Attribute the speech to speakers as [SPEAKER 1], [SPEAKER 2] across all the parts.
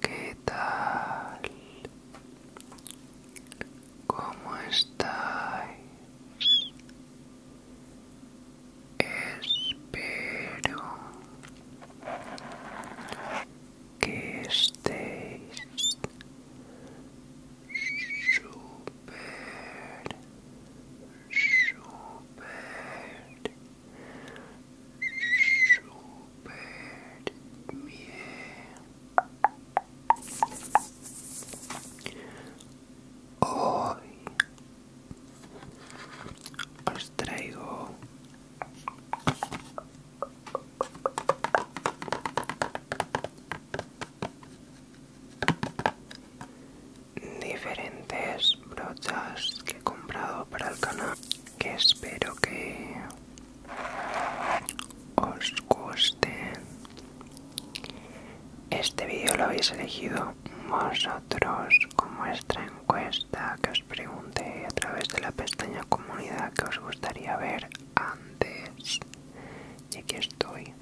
[SPEAKER 1] ¿Qué tal? ¿Cómo estáis? Espero que estéis súper, súper super bien. Hoy os traigo diferentes brochas que he comprado para el canal que espero que os gusten este vídeo lo habéis elegido vosotros con vuestra encuesta que os pregunté a través de la pestaña comunidad que os gustaría ver antes y aquí estoy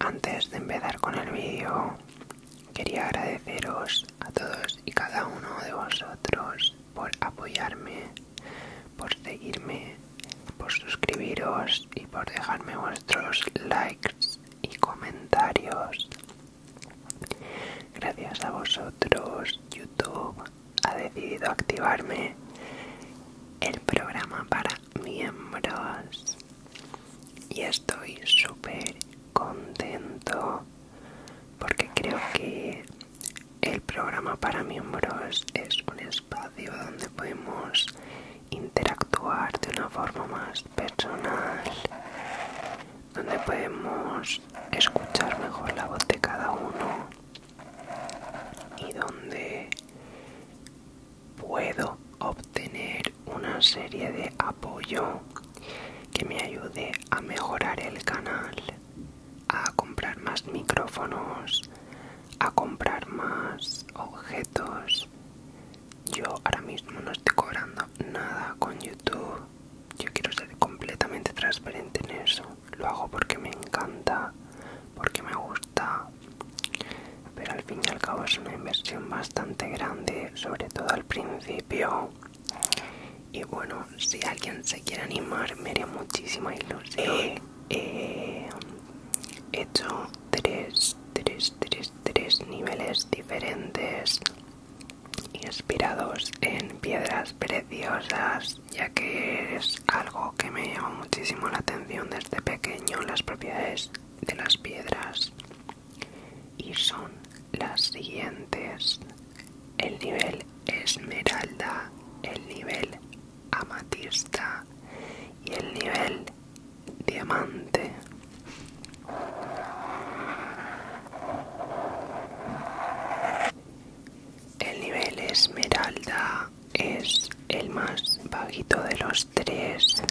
[SPEAKER 1] antes de empezar con el vídeo, quería agradeceros a todos y cada uno de vosotros por apoyarme, por seguirme, por suscribiros y por dejarme vuestros likes y comentarios. Gracias a vosotros, YouTube ha decidido activarme el programa para miembros y estoy súper contento porque creo que el programa para miembros es un espacio donde podemos interactuar de una forma más personal, donde podemos escuchar mejor la voz de cada uno y donde puedo obtener una serie de apoyo que me ayude a mejorar el canal, a comprar más micrófonos, a comprar más objetos. Yo ahora mismo no estoy cobrando nada con YouTube. Yo quiero ser completamente transparente en eso. Lo hago porque me encanta, porque me gusta, pero al fin y al cabo es una inversión bastante grande sobre todo al principio y bueno si alguien se quiere animar me haría muchísima ilusión eh, eh, eh, he, hecho tres tres tres tres niveles diferentes inspirados en piedras preciosas ya que es algo que me llama muchísimo la atención desde pequeño las propiedades de las piedras y son las siguientes el nivel esmeralda el nivel amatista y el nivel diamante el nivel esmeralda es el más bajito de los tres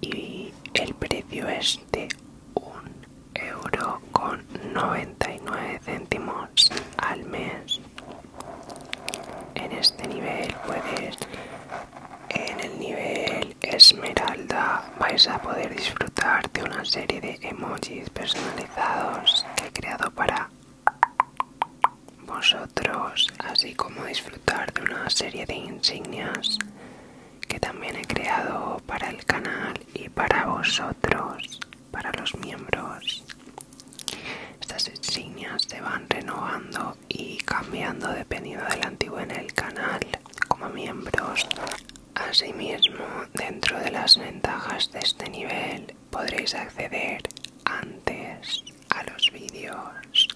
[SPEAKER 1] y el precio es de un euro con 99 céntimos al mes en este nivel puedes en el nivel esmeralda vais a poder disfrutar de una serie de emojis personalizados que he creado para vosotros, así como disfrutar de una serie de insignias que también he creado para el canal y para vosotros, para los miembros. Estas insignias se van renovando y cambiando dependiendo del antiguo en el canal como miembros. Asimismo, dentro de las ventajas de este nivel podréis acceder antes a los vídeos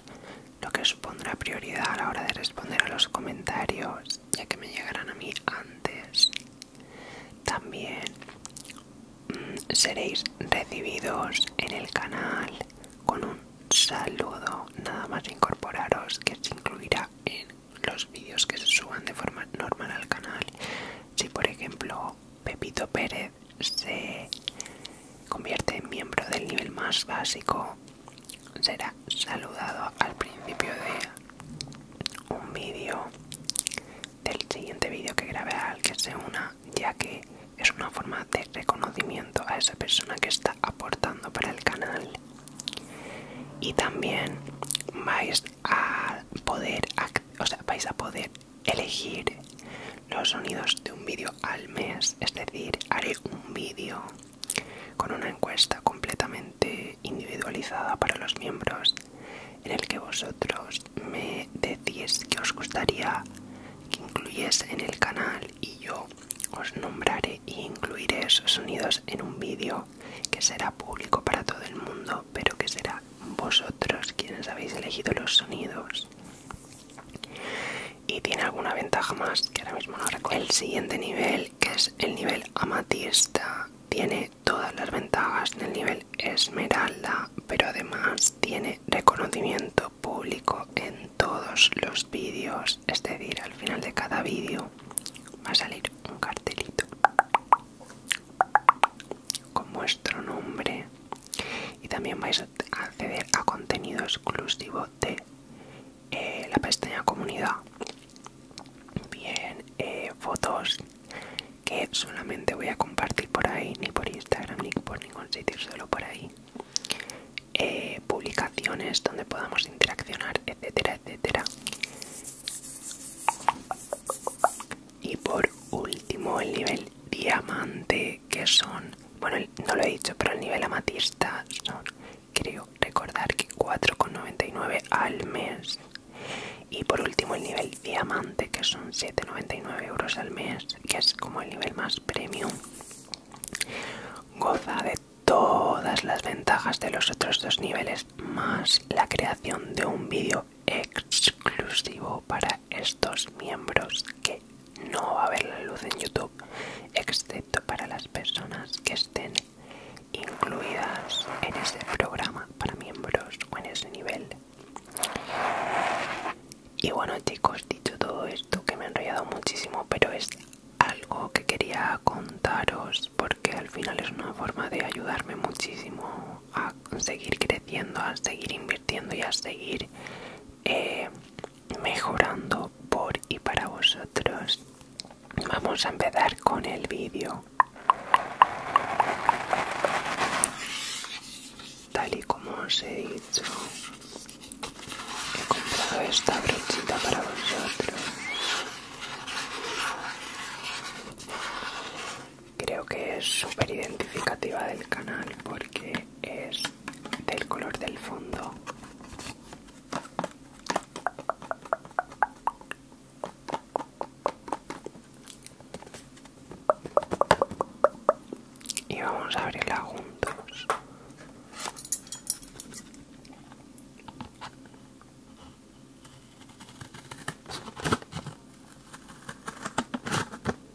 [SPEAKER 1] lo que supondrá prioridad a la hora de responder a los comentarios, ya que me llegarán a mí antes. También mm, seréis recibidos en el canal con un saludo, nada más incorporaros, que se incluirá en los vídeos que se suban de forma normal al canal. Si por ejemplo Pepito Pérez se convierte en miembro del nivel más básico, será saludado al principio de un vídeo, del siguiente vídeo que grabe al que se una, ya que es una forma de reconocimiento a esa persona que está aportando para el canal. Y también vais a poder, o sea, vais a poder elegir los sonidos de un vídeo al mes, es decir, haré un vídeo con una encuesta completamente individualizada para los miembros en el que vosotros me decís que os gustaría que incluyese en el canal y yo os nombraré e incluiré esos sonidos en un vídeo que será público para todo el mundo, pero que será vosotros quienes habéis elegido los sonidos y tiene alguna ventaja más que ahora mismo no recuerdo. El siguiente nivel, que es el nivel amatista, tiene todas las ventajas del nivel esmeralda, pero además tiene reconocimiento público en todos los vídeos, es decir, al final de cada vídeo va a salir un cartelito con nuestro nombre y también vais a acceder a contenido exclusivo de eh, la pestaña comunidad bien eh, fotos que solamente voy a compartir por ahí ni por instagram ni por ningún sitio solo por ahí eh, publicaciones donde podamos interaccionar etcétera etcétera y por último el nivel diamante que son bueno no lo he dicho pero el nivel amatista son creo recordar que 4,99 al mes y por último el nivel diamante que son 7,99 euros al mes que es como el nivel más premium goza de todas las ventajas de los otros dos niveles más la creación de un vídeo exclusivo para estos miembros que no va a ver la luz en YouTube, excepto para las personas que estén incluidas en ese programa para miembros o en ese nivel. Y bueno chicos, dicho todo esto, que me ha enrollado muchísimo, pero es algo que quería contaros porque al final es una forma de ayudarme muchísimo a seguir creciendo, a seguir invirtiendo y a seguir eh, mejorando por y para vosotros. Vamos a empezar con el vídeo. Tal y como os he dicho, he comprado esta brochita para vosotros. Creo que es súper identificativa del canal porque es del color del fondo y vamos a abrirla juntos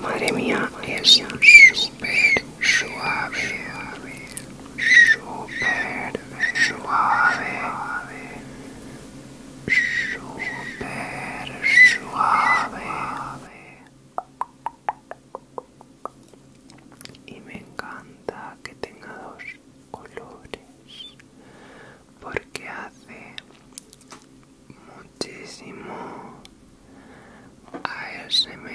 [SPEAKER 1] Madre mía, Dios súper suave, súper suave, súper suave. Y me encanta que tenga dos colores porque hace muchísimo ASMR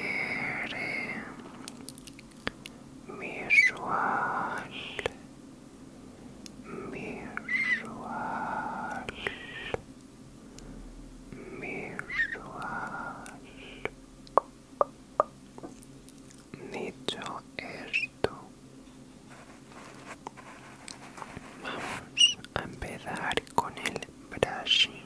[SPEAKER 1] visual visual visual dicho esto vamos a empezar con el brushing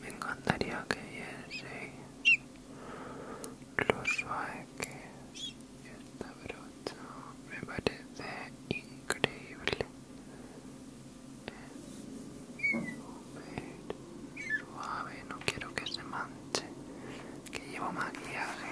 [SPEAKER 1] Me encantaría que vieseis lo suave y esta brocha me parece increíble. suave, no quiero que se manche, que llevo maquillaje.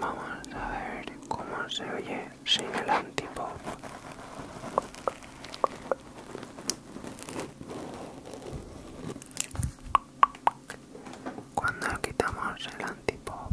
[SPEAKER 1] Vamos a ver cómo se oye sin el antipop cuando quitamos el antipop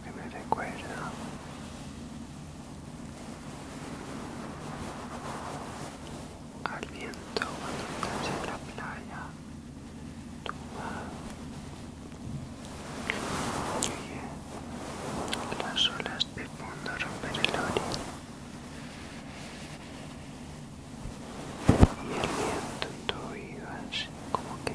[SPEAKER 1] que me recuerda al viento cuando estás en la playa tumba oye las olas de fondo romper el orín y el viento en tu oído así como que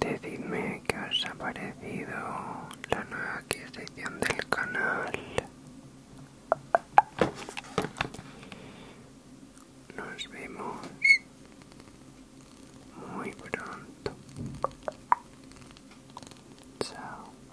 [SPEAKER 1] Decidme qué os ha parecido la nueva adquisición del canal. Nos vemos muy pronto. Chao.